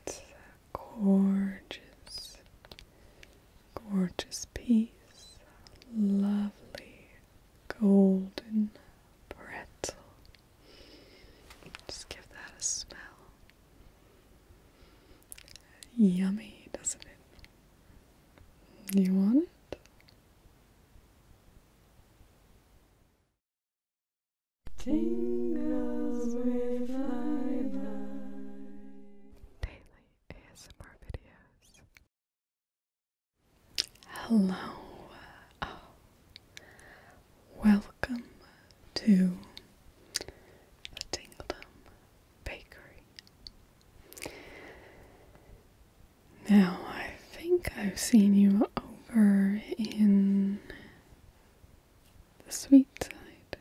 It's gorgeous, gorgeous piece. Lovely golden pretzel. Just give that a smell. Yummy, doesn't it? You want it? Tingles with Daily ASMR videos. Hello. Welcome to the Tingledom Bakery. Now, I think I've seen you over in the sweet side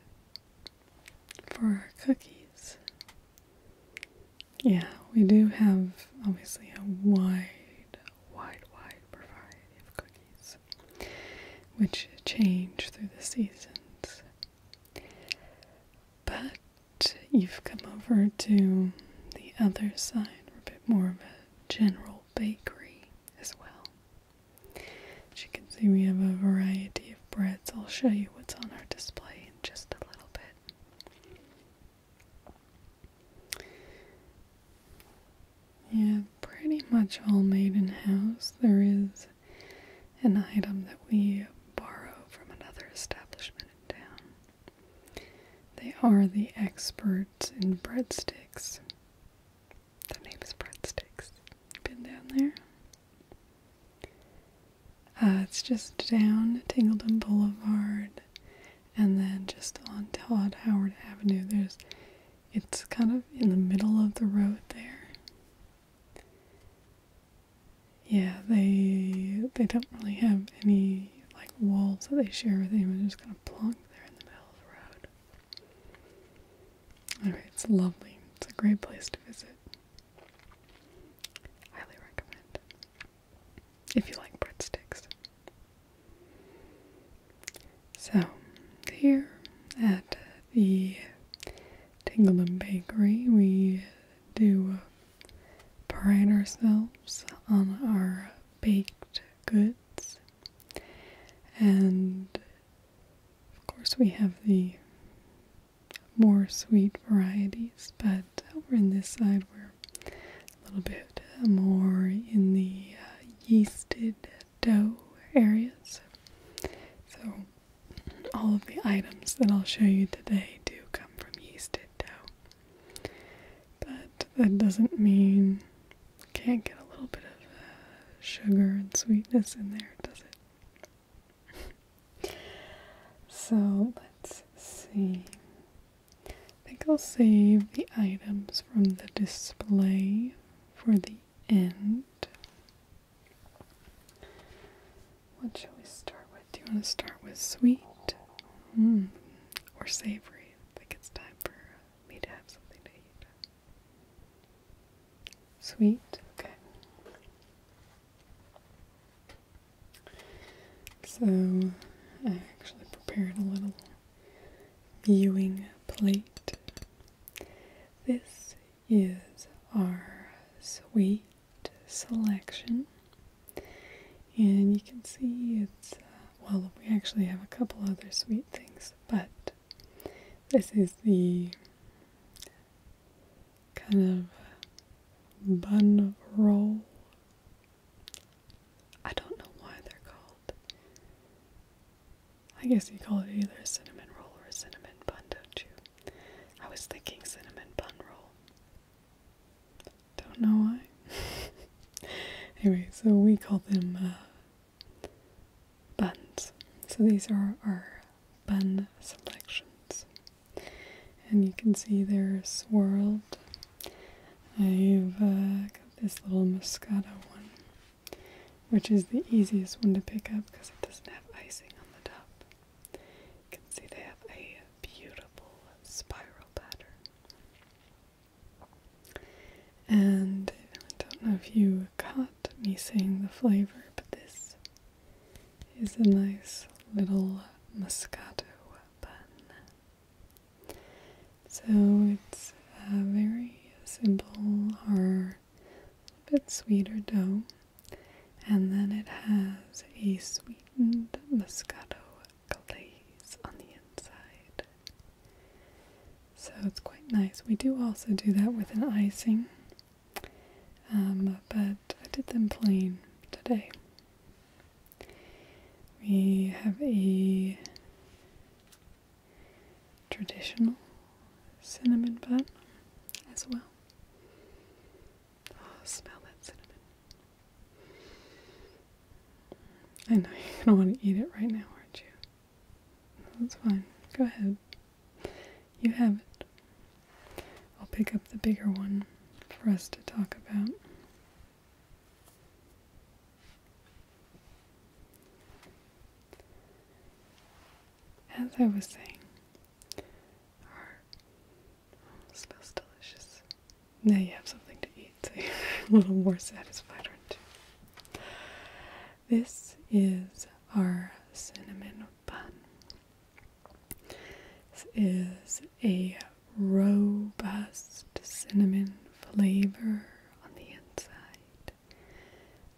for our cookies. Yeah, we do have obviously a wide, wide, wide variety of cookies which change through the seasons. But you've come over to the other side, or a bit more of a general bakery as well. As you can see, we have a variety of breads. I'll show you what's on our display in just a little bit. Yeah, pretty much all made in house. There is an item that we borrow from another establishment in town. They are the experts in breadsticks. The name is Breadsticks. Been down there? Uh, it's just down Tingleton Boulevard and then just on Todd Howard Avenue. There's it's kind of in the middle of the road there. Yeah, they they don't really have any like walls that they share with anyone. They're just kind of plonk there in the middle of the road it's lovely. It's a great place to visit. Highly recommend. If you like breadsticks. So, here at the Tingleham Bakery, we do pride ourselves on our baked goods. And of course, we have the more sweet varieties, but over in this side, we're a little bit more in the uh, yeasted dough areas. So, all of the items that I'll show you today do come from yeasted dough. But that doesn't mean can not get a little bit of uh, sugar and sweetness in there, does it? so let's see. I think I'll save the items from the display for the end. What shall we start with? Do you want to start with sweet hmm, or savory? I think it's time for me to have something to eat. Sweet, okay. So, I actually prepared a little viewing plate. This is our sweet selection. And you can see it's, uh, well, we actually have a couple other sweet things but this is the kind of bun roll. I don't know why they're called. I guess you call it either a cinnamon roll or a cinnamon bun, don't you? I was thinking cinnamon bun roll. Don't know why. anyway, so we call them uh, buns. So these are our bun selections. And you can see they're swirled. I've uh, got this little Moscato one, which is the easiest one to pick up because it doesn't have icing on the top. You can see they have a beautiful spiral pattern. And I don't know if you caught me saying the flavor, but this is a nice little Moscato bun. So it's a uh, very simple or a bit sweeter dough, and then it has a sweetened Moscato glaze on the inside. So it's quite nice. We do also do that with an icing, um, but I did them plain today. We have a traditional cinnamon bun as well. Oh, smell that cinnamon. I know you are gonna want to eat it right now, aren't you? that's fine. Go ahead. You have it. I'll pick up the bigger one for us to talk about. As I was saying, our smells delicious. Now you have something to eat, so you're a little more satisfied, aren't you? This is our cinnamon bun. This is a robust cinnamon flavor on the inside,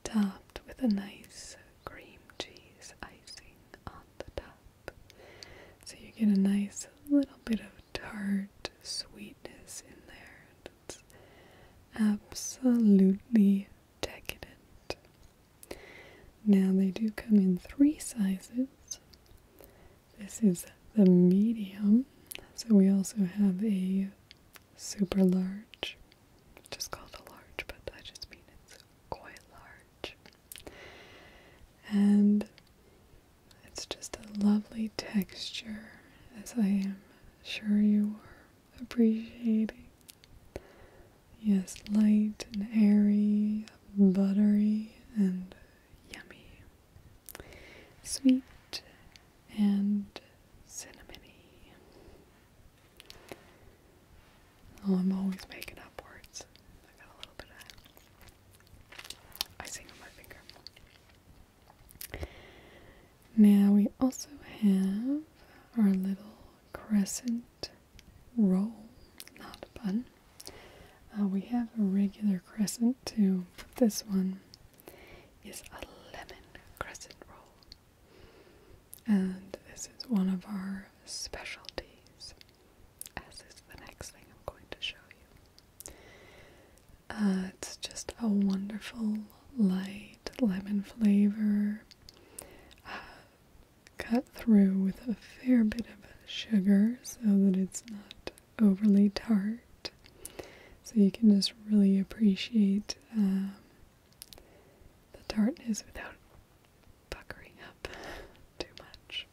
topped with a nice cream cheese icing on the top. So you get a nice little bit of tart sweetness in there. That's absolutely decadent. Now they do come in three sizes. This is the medium, so we also have a super large, just is called a large, but I just mean it's quite large. And it's just a lovely texture, as I am sure you are appreciating. Yes, light and airy, buttery and yummy, sweet and cinnamony. Oh, I'm always making up words. I got a little bit of icing on my finger. Now we also have our little crescent roll, not a bun. Uh, we have a regular crescent too, but this one is a lemon crescent roll. And this is one of our specialties, as is the next thing I'm going to show you. Uh, it's just a wonderful light lemon flavor, uh, cut through with a fair bit of sugar so that it's not overly tart. So you can just really appreciate um, the tartness without puckering up too much.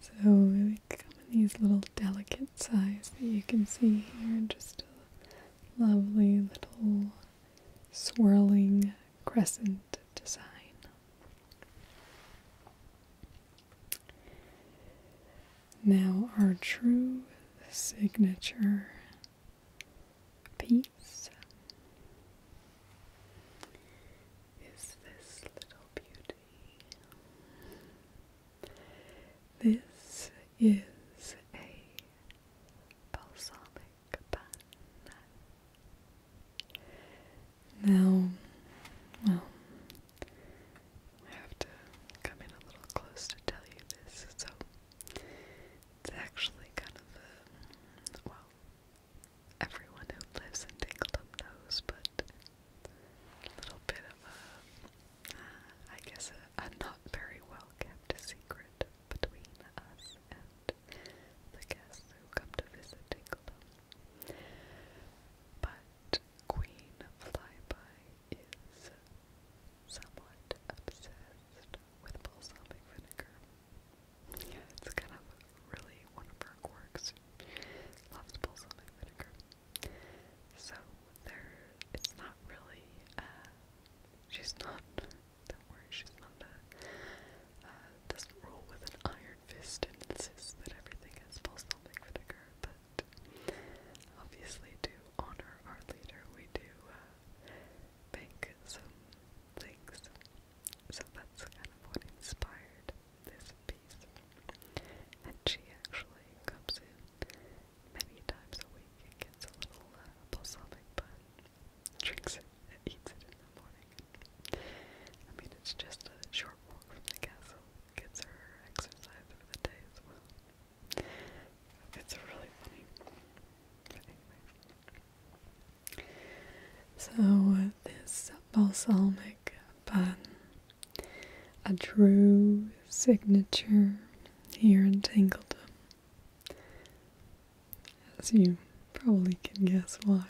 So, like these little delicate size that you can see here. Just a lovely little swirling crescent design. Now, our true signature piece is this little beauty. This is a balsamic pan. Now, well, I have to come in a little close to tell you this, so it's actually kind of well, everyone who lives in Dingleham knows, but a little bit of a, uh, guess, a, not very well kept secret between us and the guests who come to visit Tinglebell. But Queen Flyby is somewhat obsessed with balsamic vinegar. Yeah, it's kind of really one of her quirks. Loves balsamic vinegar. So there, it's not really, uh, she's not, don't worry, she's not a, uh, doesn't rule with an iron fist and insists that everything has balsamic vinegar, but obviously to honor our leader, we do, uh, make some things. So that's kind of what inspired this and she actually comes in many times a week and gets a little uh, balsamic bun, drinks it, eats it in the morning. I mean, it's just a short walk from the castle, gets her exercise for the day as well. It's really funny. So, uh, this balsamic bun a true signature here in Tangledom. As you probably can guess why.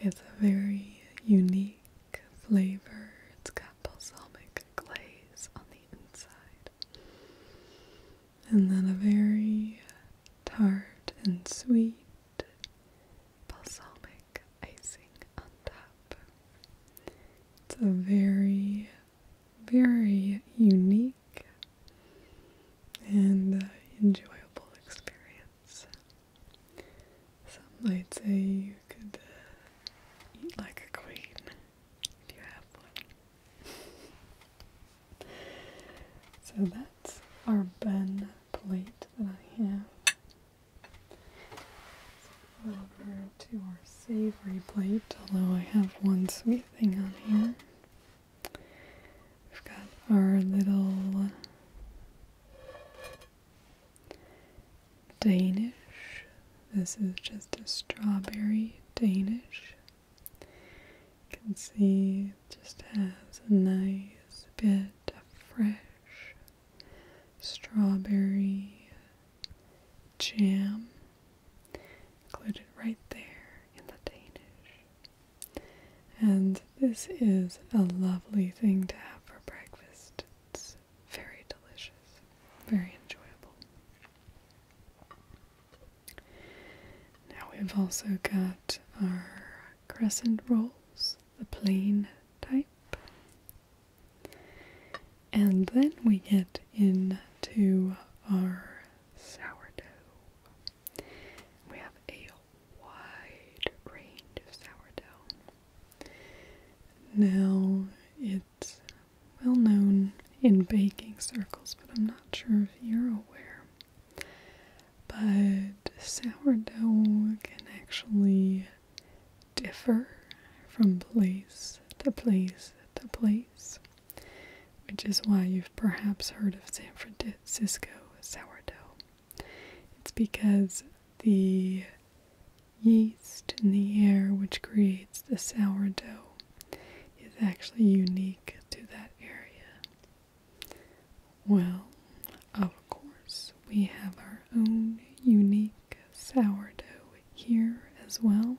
It's a very unique flavor. It's got balsamic glaze on the inside. And then a very tart and sweet balsamic icing on top. It's a very, very unique and uh, enjoyable experience. Some might say you could uh, eat like a queen if you have one. so that's our Ben plate to the ham. over to our savory plate, although I have one sweet thing on here. We've got our little Danish. This is just a strawberry Danish. You can see it just has a nice bit bit fresh strawberry jam included right there in the Danish. And this is a lovely thing to have for breakfast. It's very delicious, very enjoyable. Now we've also got our crescent rolls, the plain type. And then we get into our sourdough. We have a wide range of sourdough. Now, it's well known in baking circles, but I'm not sure if you're aware but sourdough can actually differ from place to place to place, which is why you've perhaps heard of San Francisco sourdough. It's because the yeast in the air which creates the sourdough is actually unique to that area. Well, of course, we have our own unique sourdough here as well.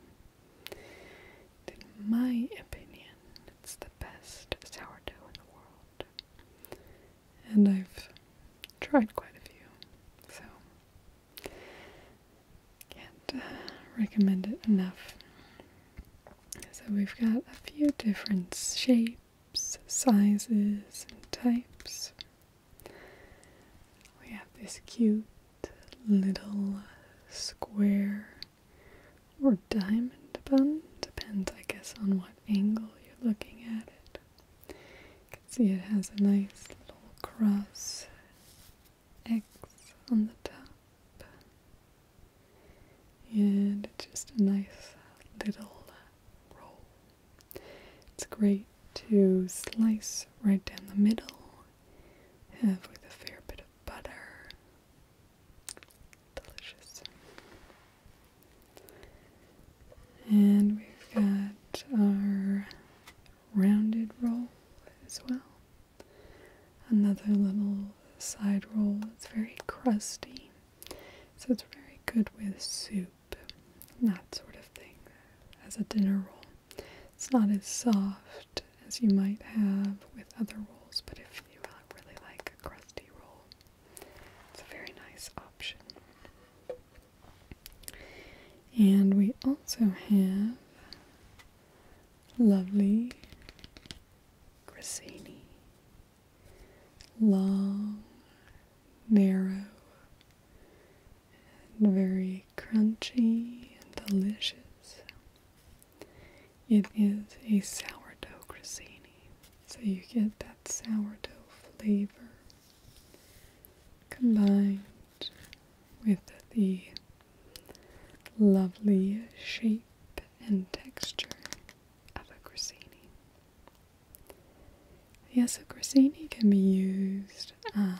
in my opinion, it's the best sourdough in the world. And I've tried quite a few, so can't uh, recommend it enough. So we've got a few different shapes sizes, and types. We have this cute little square or diamond bun, depends, I guess, on what angle you're looking at it. You can see it has a nice little cross X on the top and just a nice little roll. It's great to slice right down the middle, have with a fair bit of butter. Delicious. And we've got our rounded roll as well. Another little side roll. It's very crusty. So it's very good with soup and that sort of thing as a dinner roll. It's not as soft as you might have with other rolls, but if you really like a crusty roll, it's a very nice option. And we also have lovely grissini long, narrow, and very crunchy and delicious. It is a sourdough grissini, so you get that sourdough flavor combined with the lovely shape and texture of a grissini. Yes, a grissini can be used. Um,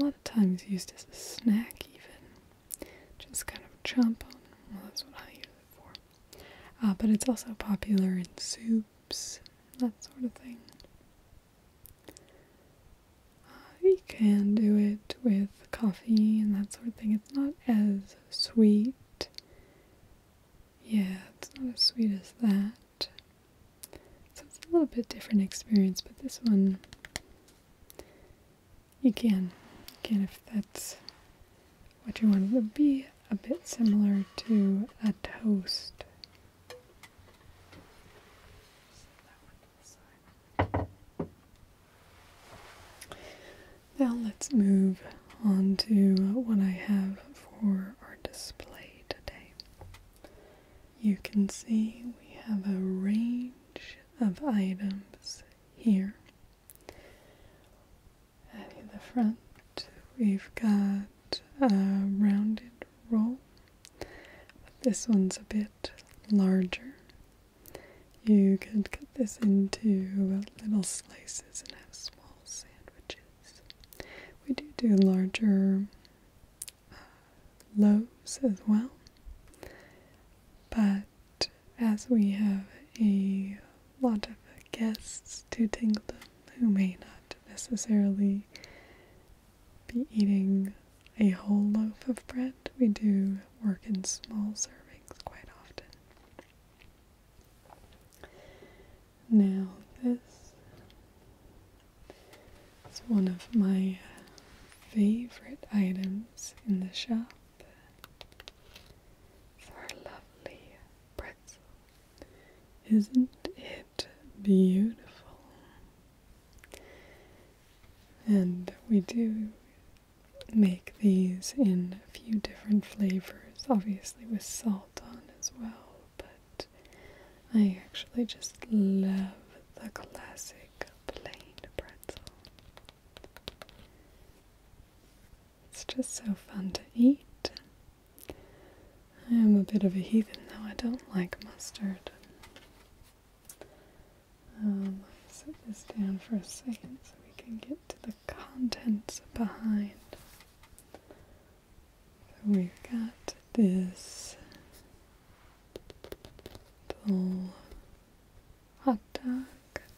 a lot of times used as a snack, even. Just kind of chomp on. Well, that's what I use it for. Uh, but it's also popular in soups, that sort of thing you can do it with coffee and that sort of thing. It's not as sweet. Yeah, it's not as sweet as that. So it's a little bit different experience, but this one you can. Again, if that's what you want. It would be a bit similar to a toast. Now let's move on to what I have for our display today. You can see we have a range of items here. At the front, we've got a rounded roll. But this one's a bit larger. You could cut this into little slices and have small sandwiches. We do do larger uh, loaves as well, but as we have a lot of guests to Tingledom who may not necessarily be eating a whole loaf of bread. We do work in small servings quite often. Now, this is one of my favorite items in the shop. our lovely pretzel. Isn't it beautiful? And we do make these in a few different flavors, obviously with salt on as well, but I actually just love the classic plain pretzel. It's just so fun to eat. I am a bit of a heathen though, I don't like mustard. Um, set this down for a second so we can get to the contents behind. So we've got this little hot dog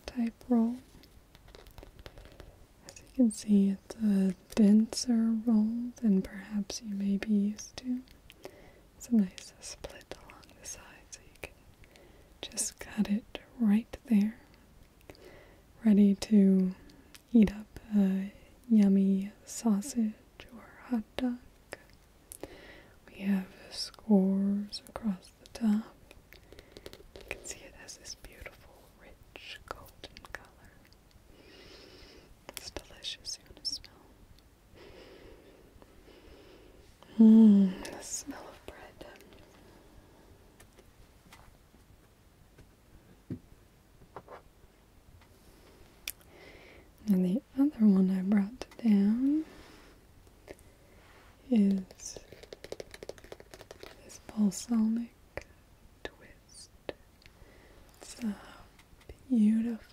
type roll. As you can see, it's a denser roll than perhaps you may be used to. It's a nice split along the side so you can just cut it right there. Ready to eat up a yummy sausage or hot dog. We have scores across the top. You can see it has this beautiful, rich golden color. It's delicious, you want to smell. Mm, the smell of bread. And the other one I brought down is this balsamic twist. It's a beautiful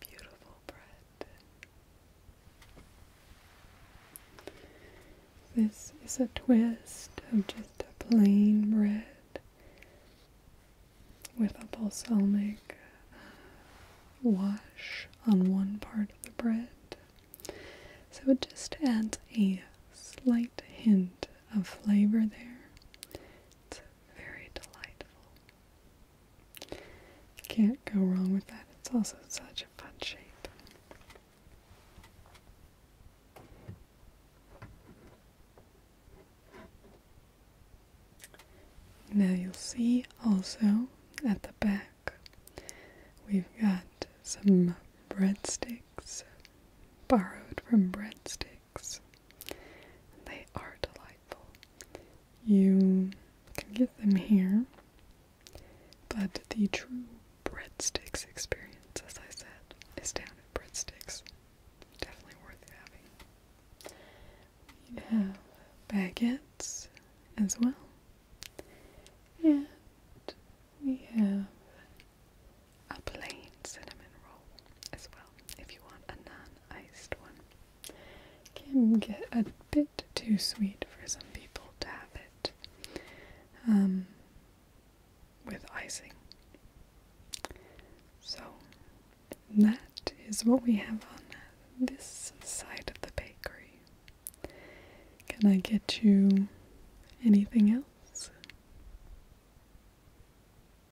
beautiful bread. This is a twist of just a plain bread with a balsamic uh, wash on one part of the bread. So it just adds a slight hint of flavor there. It's very delightful. Can't go wrong with that. It's also such a fun shape. Now you'll see also at the back we've got some breadsticks borrowed from breadsticks they are delightful. You can get them here, but the true breadsticks experience, as I said, is down at breadsticks. Definitely worth having. We have baguettes as well. And we have a plain cinnamon roll as well if you want a non-iced one. Can get a bit too sweet for some people to have it um, with icing. So that is what we have on this side of the bakery. Can I get you anything else?